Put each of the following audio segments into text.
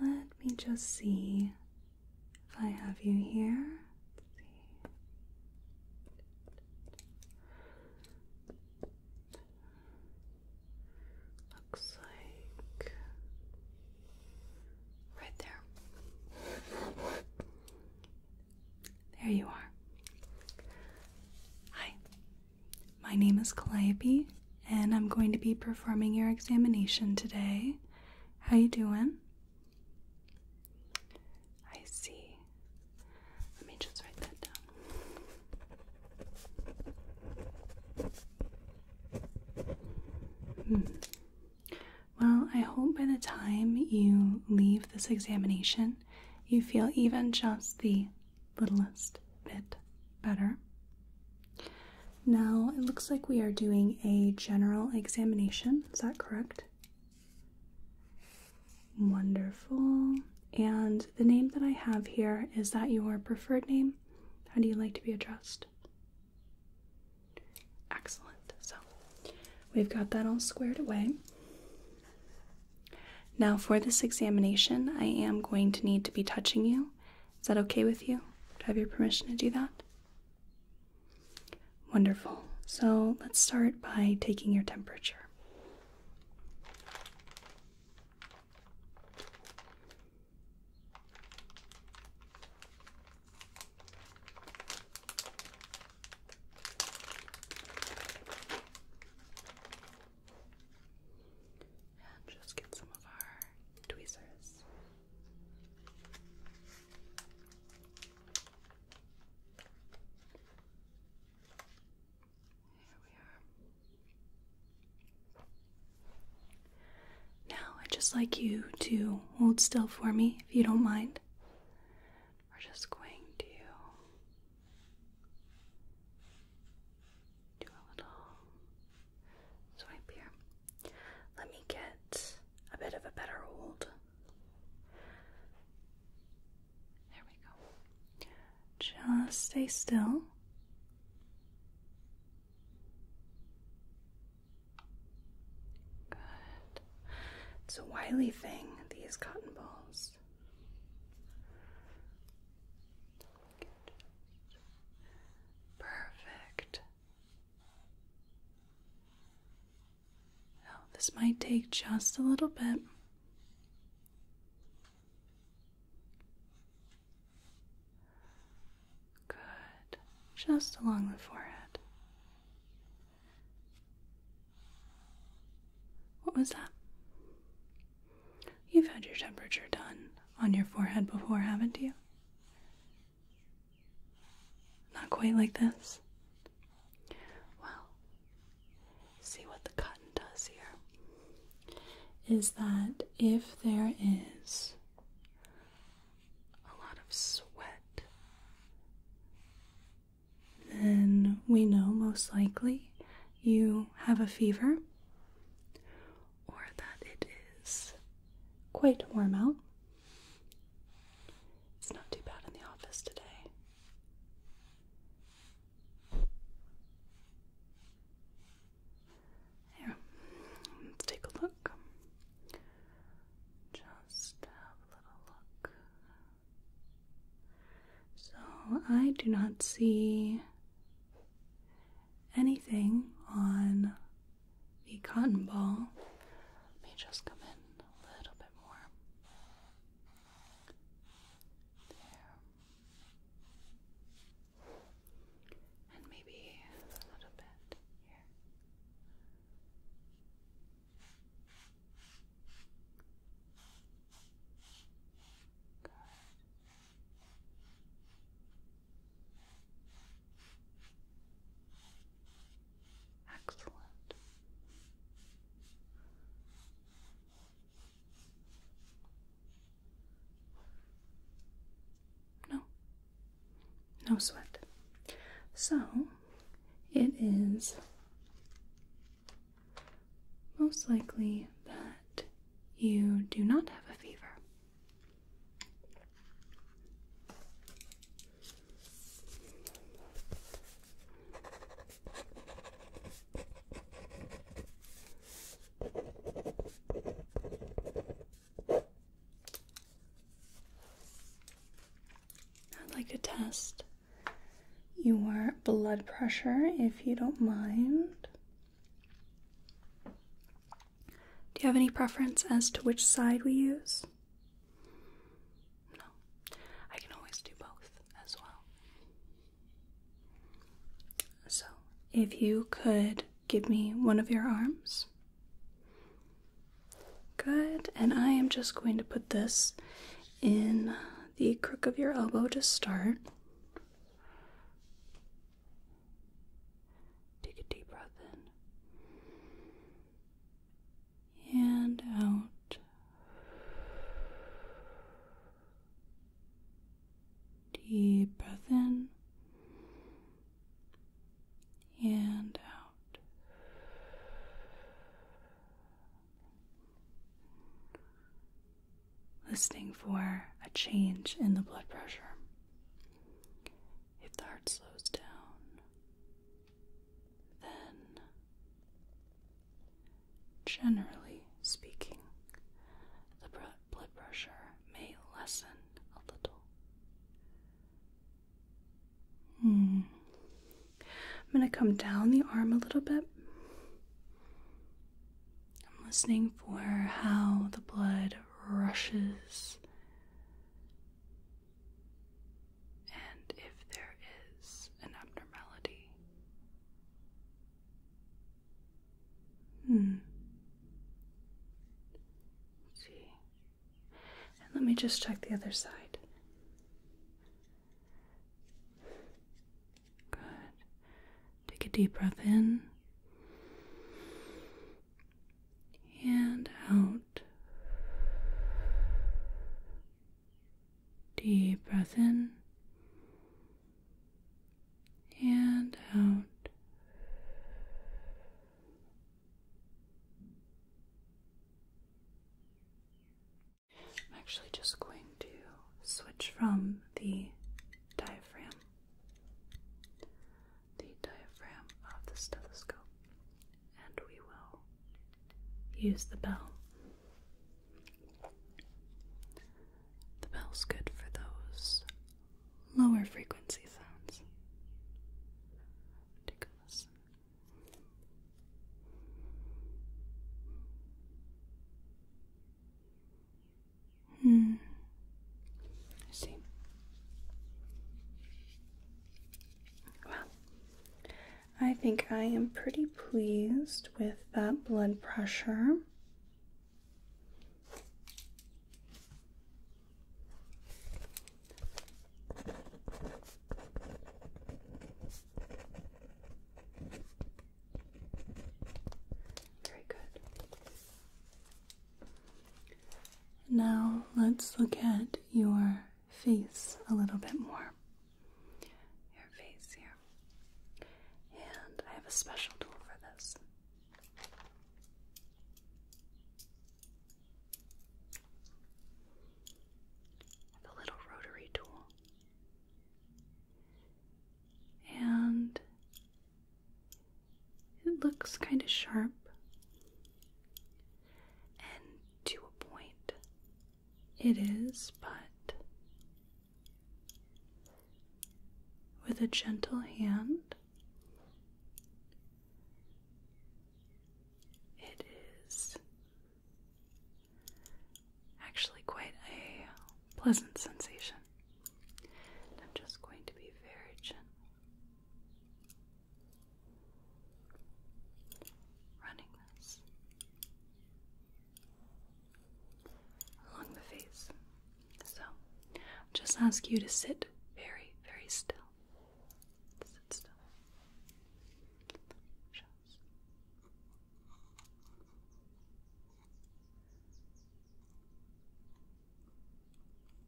Let me just see if I have you here. Looks like right there. There you are. Hi, my name is Calliope and I'm going to be performing your examination today. How you doing? I see. Let me just write that down. Hmm. Well, I hope by the time you leave this examination, you feel even just the littlest bit better. Now it looks like we are doing a general examination, is that correct? Wonderful. And the name that I have here is that your preferred name? How do you like to be addressed? Excellent. So we've got that all squared away. Now, for this examination, I am going to need to be touching you is that okay with you? Do I have your permission to do that? Wonderful. So let's start by taking your temperature. And just get some of our tweezers. Now, I'd just like you to hold still for me if you don't mind. We're just going to do a little Swipe here. Let me get a bit of a better hold. There we go. Just stay still. Good. It's a wily thing, these cotton balls. Perfect. Now, this might take just a little bit. Good. Just along the forehead. What was that? You've had your temperature done on your forehead before, haven't you? Not quite like this. Well, see what the cotton does here is that if there is a lot of sweat, then we know most likely you have a fever or that it is quite warm out. It's not too bad in the office today. Here, let's take a look. Just have a little look. So, I do not see anything on the cotton ball. Let me just come in a little bit more. There. And maybe a little bit here. Good. Excellent. No, no sweat. So it is most likely that you do not have a fever. I'd like to test your blood pressure if you don't mind. Do you have any preference as to which side we use? No. I can always do both as well. So, if you could give me one of your arms. Good, and I am just going to put this in the crook of your elbow to start. Take a deep breath in and out. Deep breath in and out. Listening for a change in the blood pressure. If the heart slows down, then, generally speaking, the blood pressure may lessen a little. Hmm. I'm going to come down the arm a little bit. I'm listening for how the blood rushes and if there is an abnormality. Hmm. let see. And let me just check the other side. Good. Take a deep breath in and out. Deep breath in and out. I'm actually just going to switch from the diaphragm the diaphragm of the stethoscope, and we will use the bell. The bell's good for those lower frequency sounds. Take a listen. Hmm. see. Well, I think I am pretty pleased with that blood pressure. Very good. Now let's look at your face a little bit more. Your face here. And I have a special tool for this. a little rotary tool. And it looks kind of sharp. And to a point, it is, but with a gentle hand, it is actually quite a pleasant sensation. I'm just going to be very gentle running this along the face. So, just ask you to sit very, very still. Sit still. Just.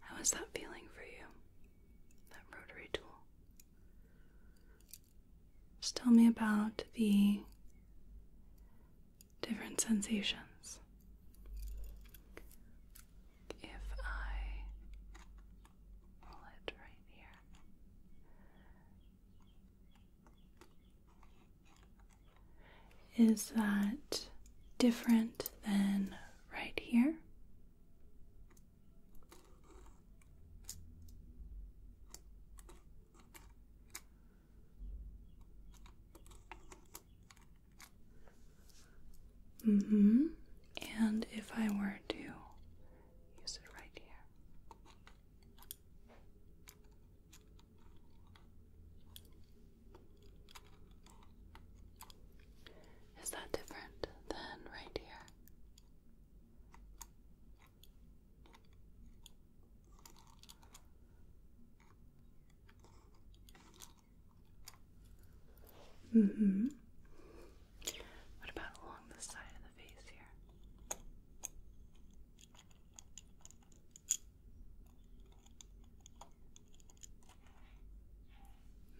how is that feeling for you? That rotary tool. Just tell me about the different sensations. If I pull it right here. Is that different than right here? Mm hmm. And if I were to use it right here. Is that different than right here? Mm-hmm. What about along the side of the face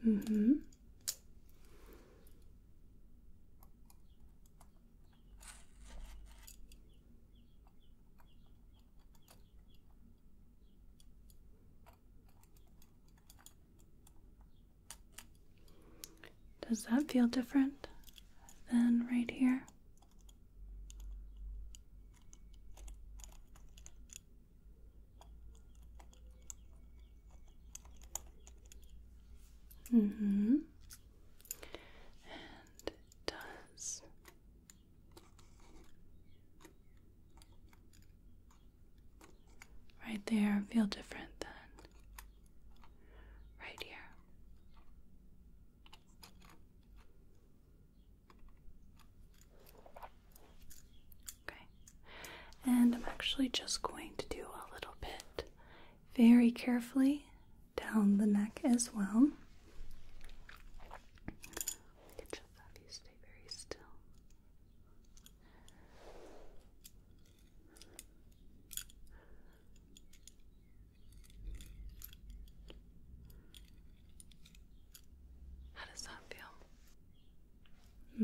here? Mm-hmm. Does that feel different than right here? hmm. And does. Right there, feel different than right here. Okay, and I'm actually just going to do a little bit very carefully down the neck as well. I'll just have you stay very still. How does that feel?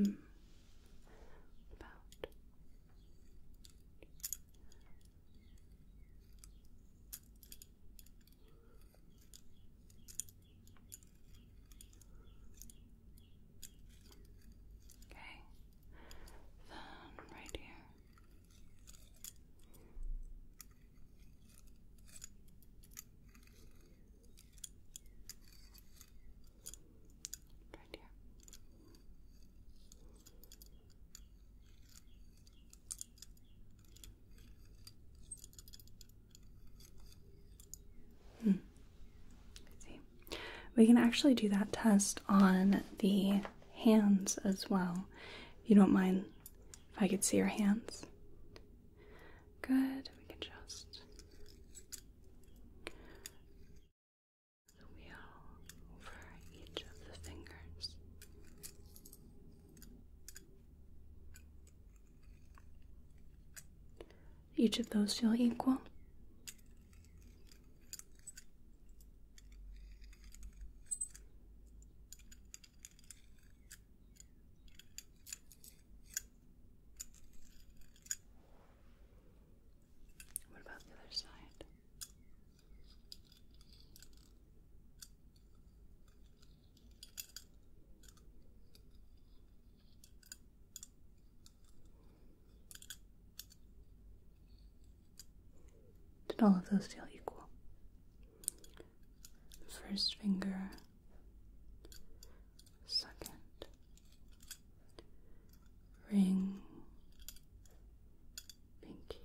Hmm. About. Okay, then right here. Right here. Hmm. We can actually do that test on the hands as well. You don't mind if I could see your hands? Good. We can just the wheel over each of the fingers. Each of those feel equal. What about the other side? Did all of those feel equal? First finger, second, ring, pinky,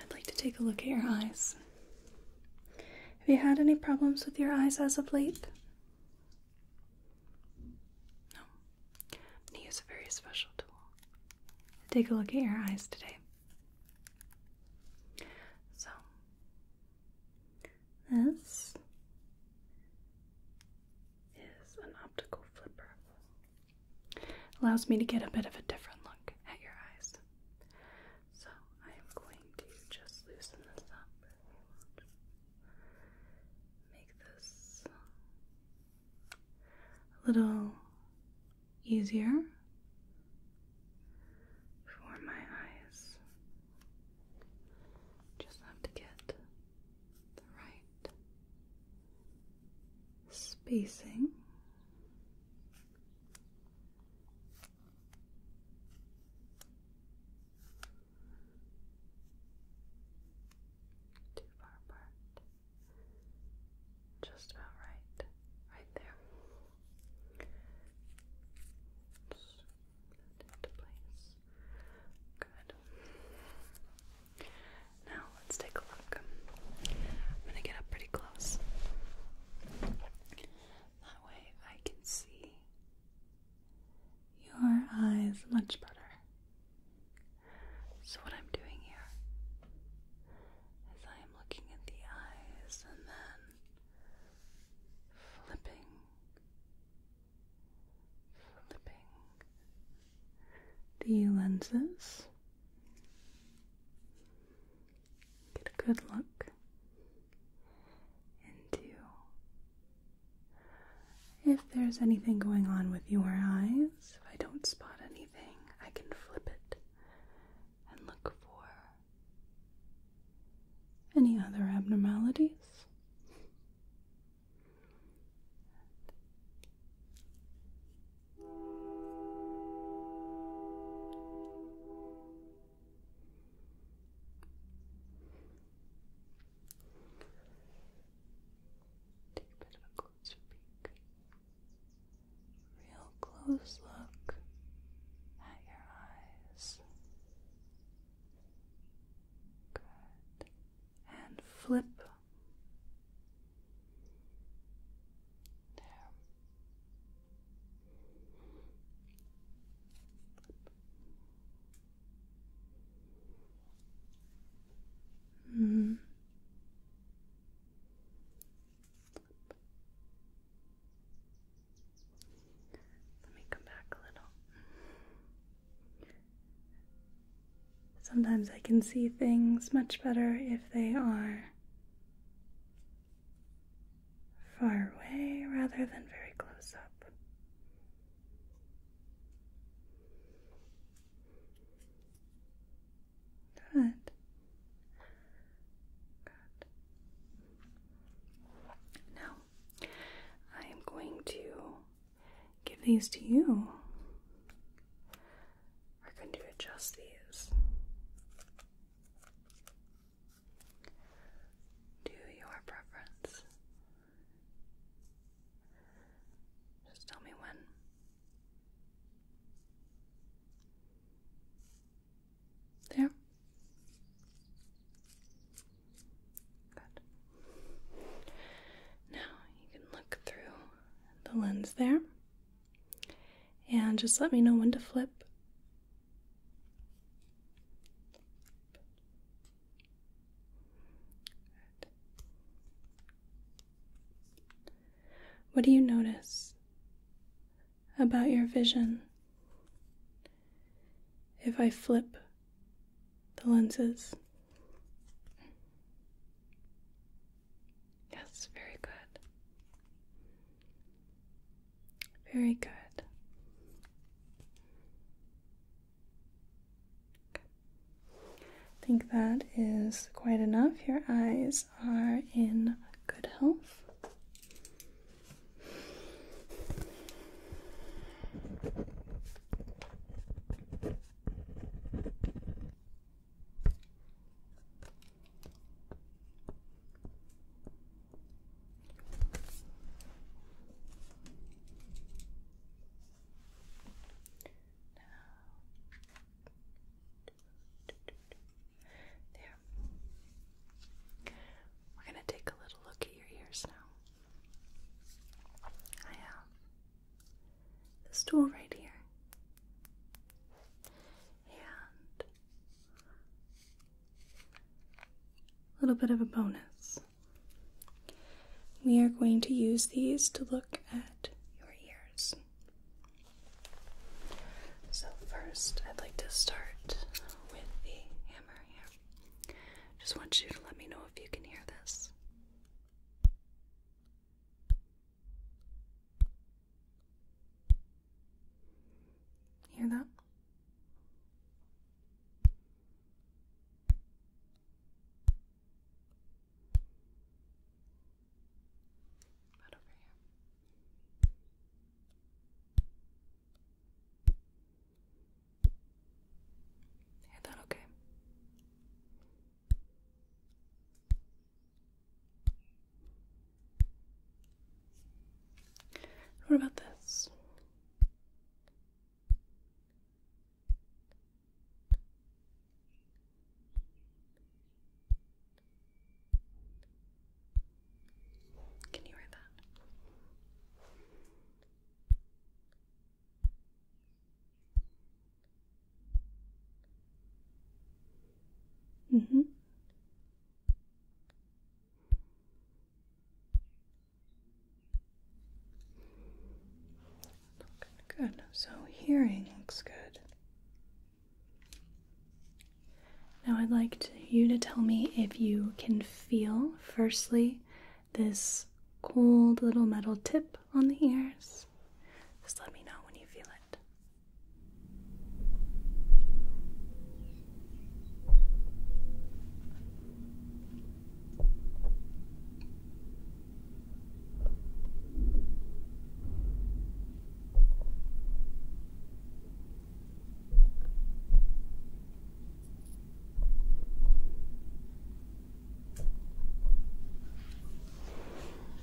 I'd like to take a look at your eyes. Have you had any problems with your eyes as of late? No. I'm going to use a very special tool. Take a look at your eyes today. So, this is an optical flipper. Allows me to get a bit of a different look at your eyes. So I am going to just loosen this up. Make this a little easier for my eyes. Just have to get right spacing. Too far apart. Just about right. Right there. into place. Good. Now let's take a look. I'm gonna get up pretty close. That way I can see your eyes much better. So, what I'm doing here is I am looking at the eyes and then flipping, flipping, the lenses. Get a good look into if there's anything going on with your eyes. If I don't spot anything, I can flip it and look for any other abnormalities. Take a bit of a closer peek. Real close look at your eyes. Good. And flip there. Mm. Let me come back a little. Sometimes I can see things much better if they are far away rather than very close up. Good. Good. Now, I am going to give these to you we're going to adjust these to your preference. Just tell me when. There. Good. Now you can look through the lens there. And just let me know when to flip. What do you notice about your vision if I flip the lenses? Yes, very good. Very good. I think that is quite enough. Your eyes are in good health. We're going to take a little look at your ears now. I um, the stool right here. And a little bit of a bonus. We are going to use these to look at your ears. So, first, I'd like to start with the hammer here. Just want you to let me know if you can hear this. Hear that? Right over Hear that okay? What about this? Can you hear that? Mm-hmm. Good. So hearing looks good. Now I'd like you to tell me if you can feel, firstly, this cold little metal tip on the ears. Just let me know when you feel it.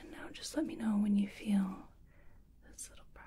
And now just let me know when you feel this little brush.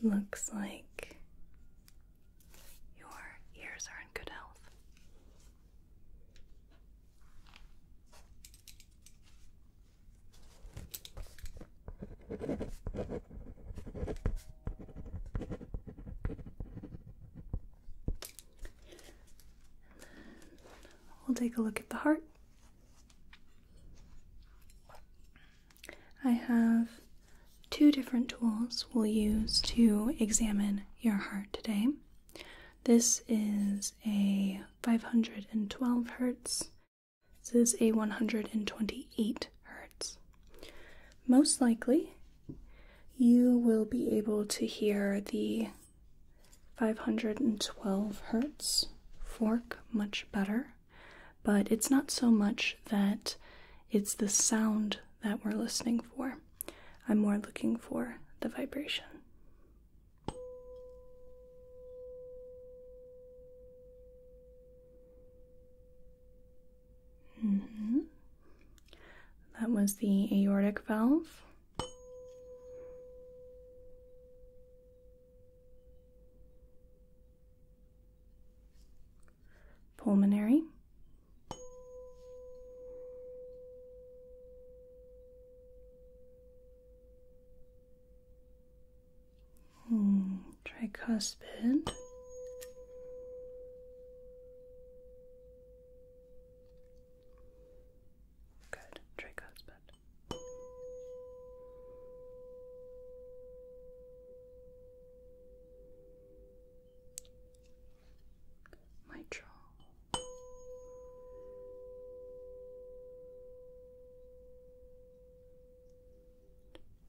Looks like your ears are in good health. We'll take a look at the heart. I have two different tools we'll use to examine your heart today. This is a 512 hertz. This is a 128 hertz. Most likely, you will be able to hear the 512 hertz fork much better, but it's not so much that it's the sound that we're listening for. I'm more looking for the vibration. Mm-hmm. That was the aortic valve. Pulmonary. Hmm, tricuspid. Good, Draco's bed. Mitral.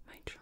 Mitral.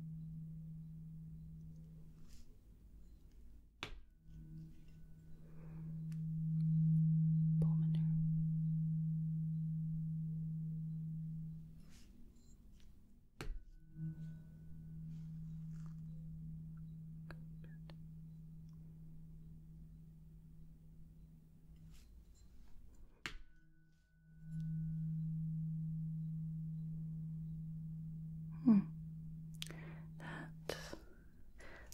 Pulmonar. Good. Good. Hmm. That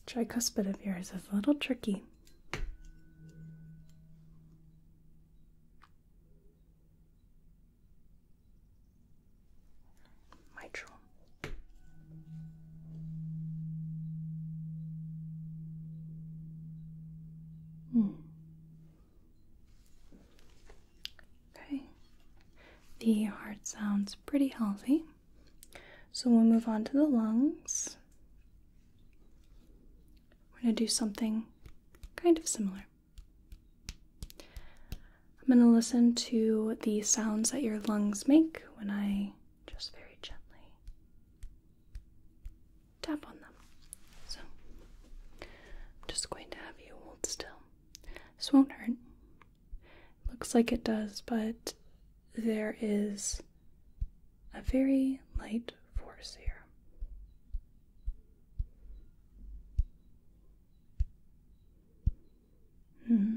tricuspid of yours is a little tricky. Mitral. Hmm. Okay, the heart sounds pretty healthy. So we'll move on to the lungs. We're going to do something kind of similar. I'm going to listen to the sounds that your lungs make when I just very gently tap on them. So, I'm just going to have you hold still. This won't hurt. Looks like it does, but there is a very light force here. Mm-hmm.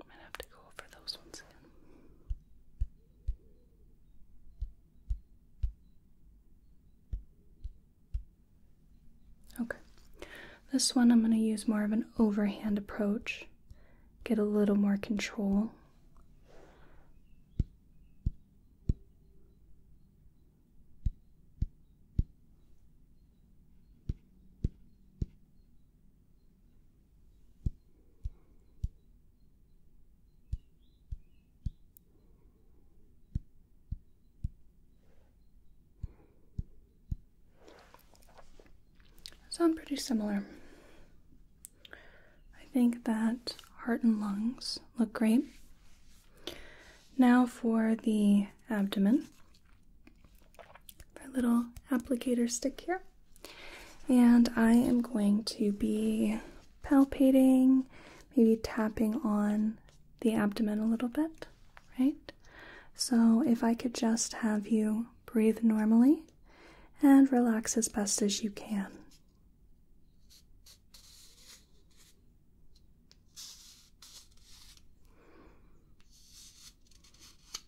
I might have to go over those ones again. Okay, this one I'm going to use more of an overhand approach, get a little more control. Sound pretty similar. I think that heart and lungs look great. Now for the abdomen our little applicator stick here. And I am going to be palpating, maybe tapping on the abdomen a little bit, right? So if I could just have you breathe normally and relax as best as you can.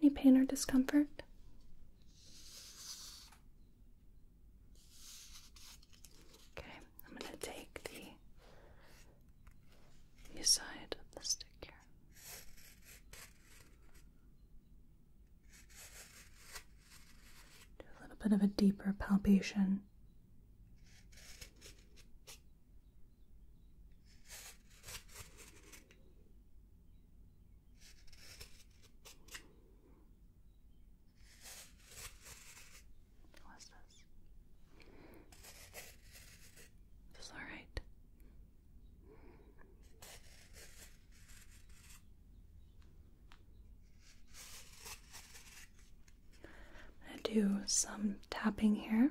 Any pain or discomfort? Okay, I'm going to take the, the side of the stick here. Do a little bit of a deeper palpation. What's this? This is alright. I'm going to do some tapping here.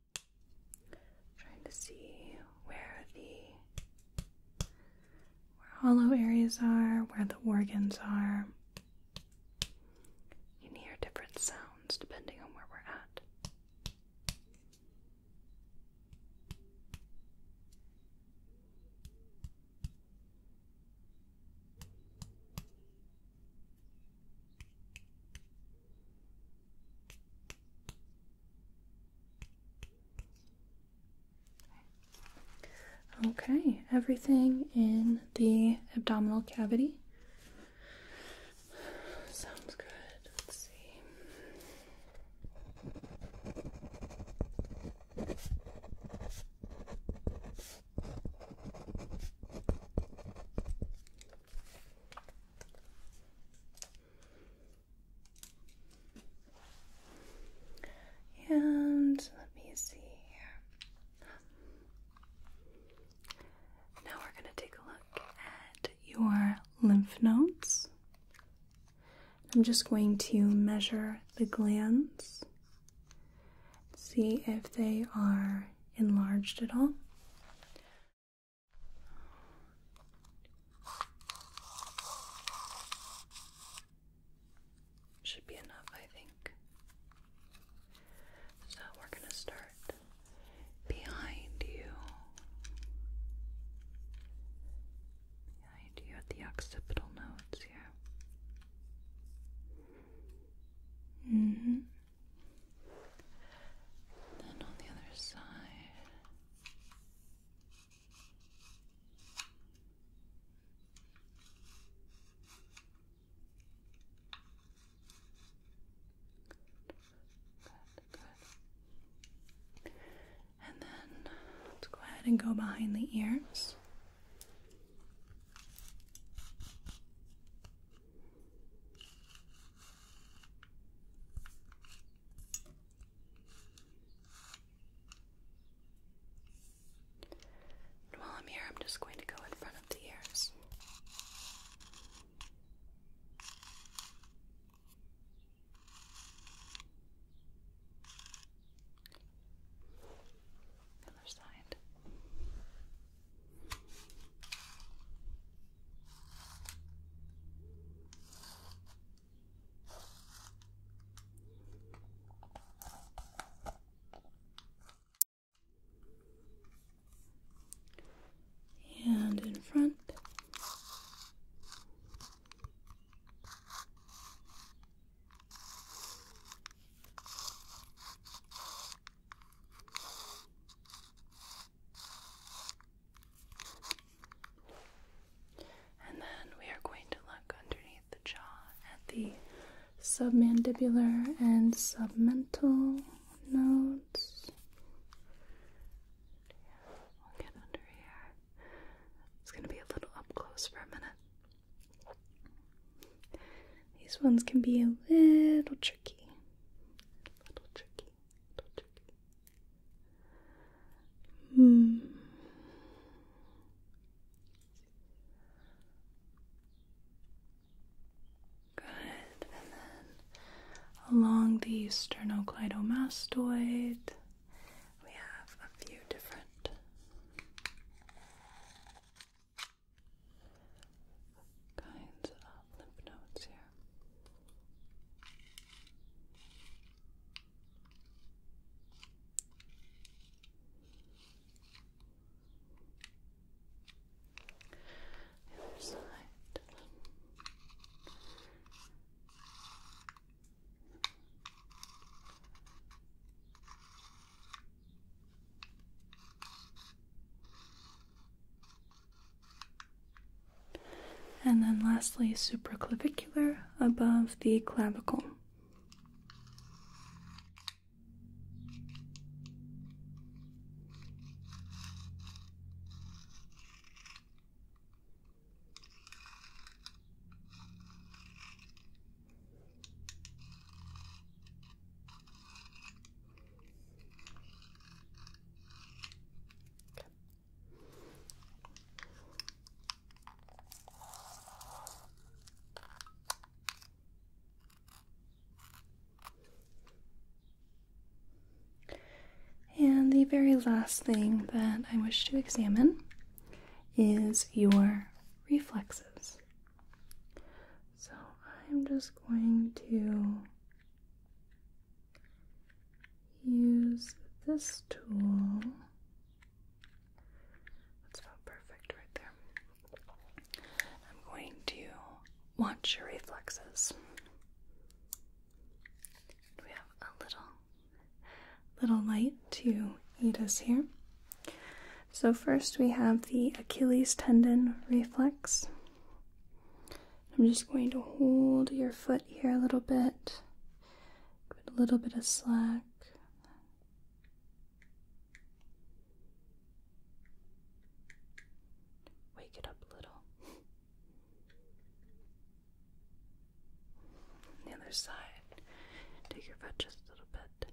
Trying to see where the where hollow areas are, where the organs are. You can hear different sounds depending on where we're at. Okay, everything in the abdominal cavity sounds good. Let's see. And let me see here. Now we're going to take a look at your lymph nodes. I'm just going to measure the glands, see if they are enlarged at all. Should be enough, I think. So we're going to start behind you. Behind you at the occipital nodes here. hmm. And then on the other side. good. And then let's go ahead and go behind the ears while I'm here, I'm just going to go in front of the ears. Other side and in front. And then we are going to look underneath the jaw at the submandibular and submental nodes. Yeah, under here. It's going to be a little up close for a minute. These ones can be a little tricky. A little tricky. Hmm. Good, and then along the sternocleidomastoid, we have a few different kinds of lymph nodes here. other side. And then lastly, supraclavicular above the clavicle. And the very last thing that I wish to examine is your reflexes. So I'm just going to use this tool. That's about perfect right there. I'm going to watch your reflexes. We have a little little light to aid us here. So first we have the Achilles tendon reflex. I'm just going to hold your foot here a little bit, give a little bit of slack. Wake it up a little. On the other side, take your foot just a little bit.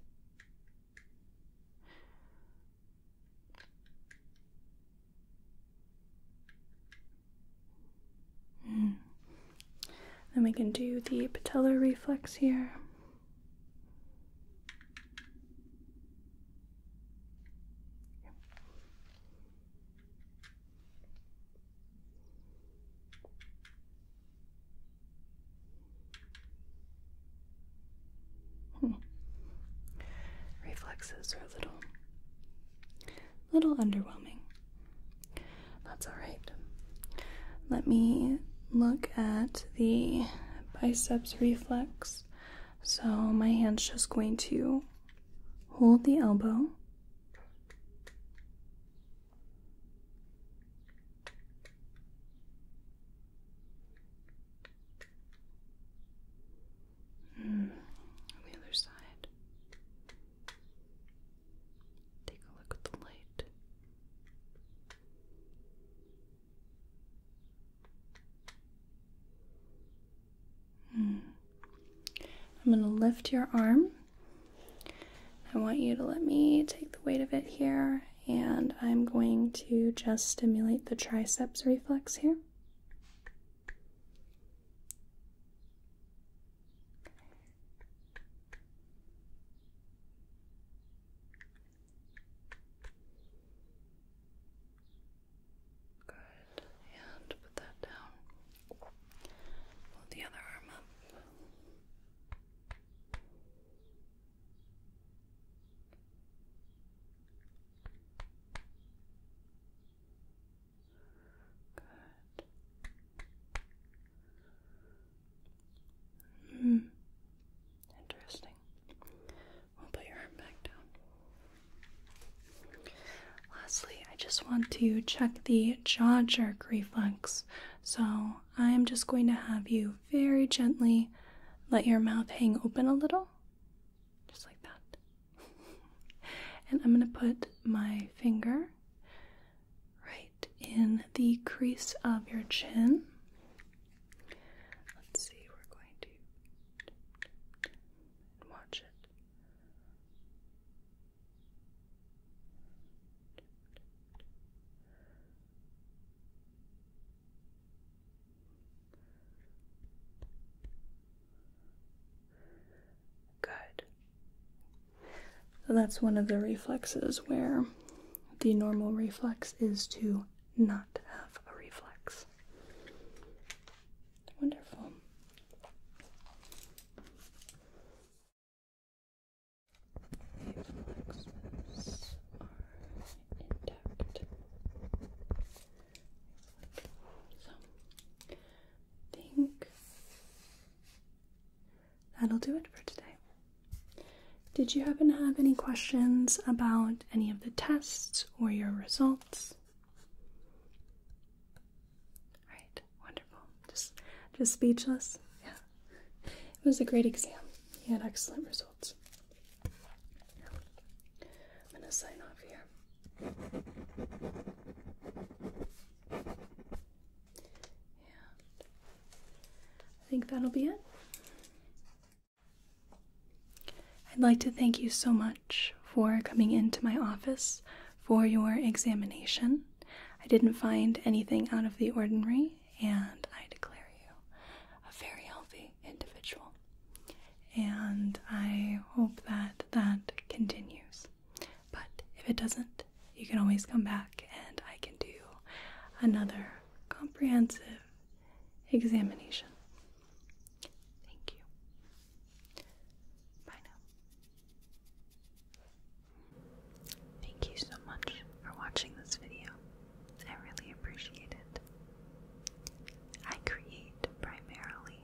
Hmm. Then we can do the patellar reflex here. Hmm. Reflexes are a little little underwhelming. That's alright. Let me look at the biceps reflex. So, my hand's just going to hold the elbow. Hmm. the other side. Take a look at the light. Hmm. I'm going to lift your arm. I want you to let me take the weight of it here, and I'm going to just stimulate the triceps reflex here. Good, and put that down. Hold the other arm up. Good. Hmm. Interesting. We'll put your arm back down. Lastly, I just want to check the jaw jerk reflex. So I am just going to have you very gently let your mouth hang open a little. Just like that and I'm going to put my finger right in the crease of your chin. Let's see, we're going to watch it. Good. So that's one of the reflexes where the normal reflex is to not have a reflex. Wonderful. So I think that'll do it for today. Did you happen to have any questions about any of the tests or your results? All right, wonderful. Just just speechless. Yeah. It was a great exam. You had excellent results. I'm gonna sign off here. I think that'll be it. I'd like to thank you so much for coming into my office for your examination. I didn't find anything out of the ordinary, and I declare you a very healthy individual and I hope that that continues. But if it doesn't, you can always come back and I can do another comprehensive examination. Thank you. Bye now. Thank you so much for watching this video. I really appreciate it. I create primarily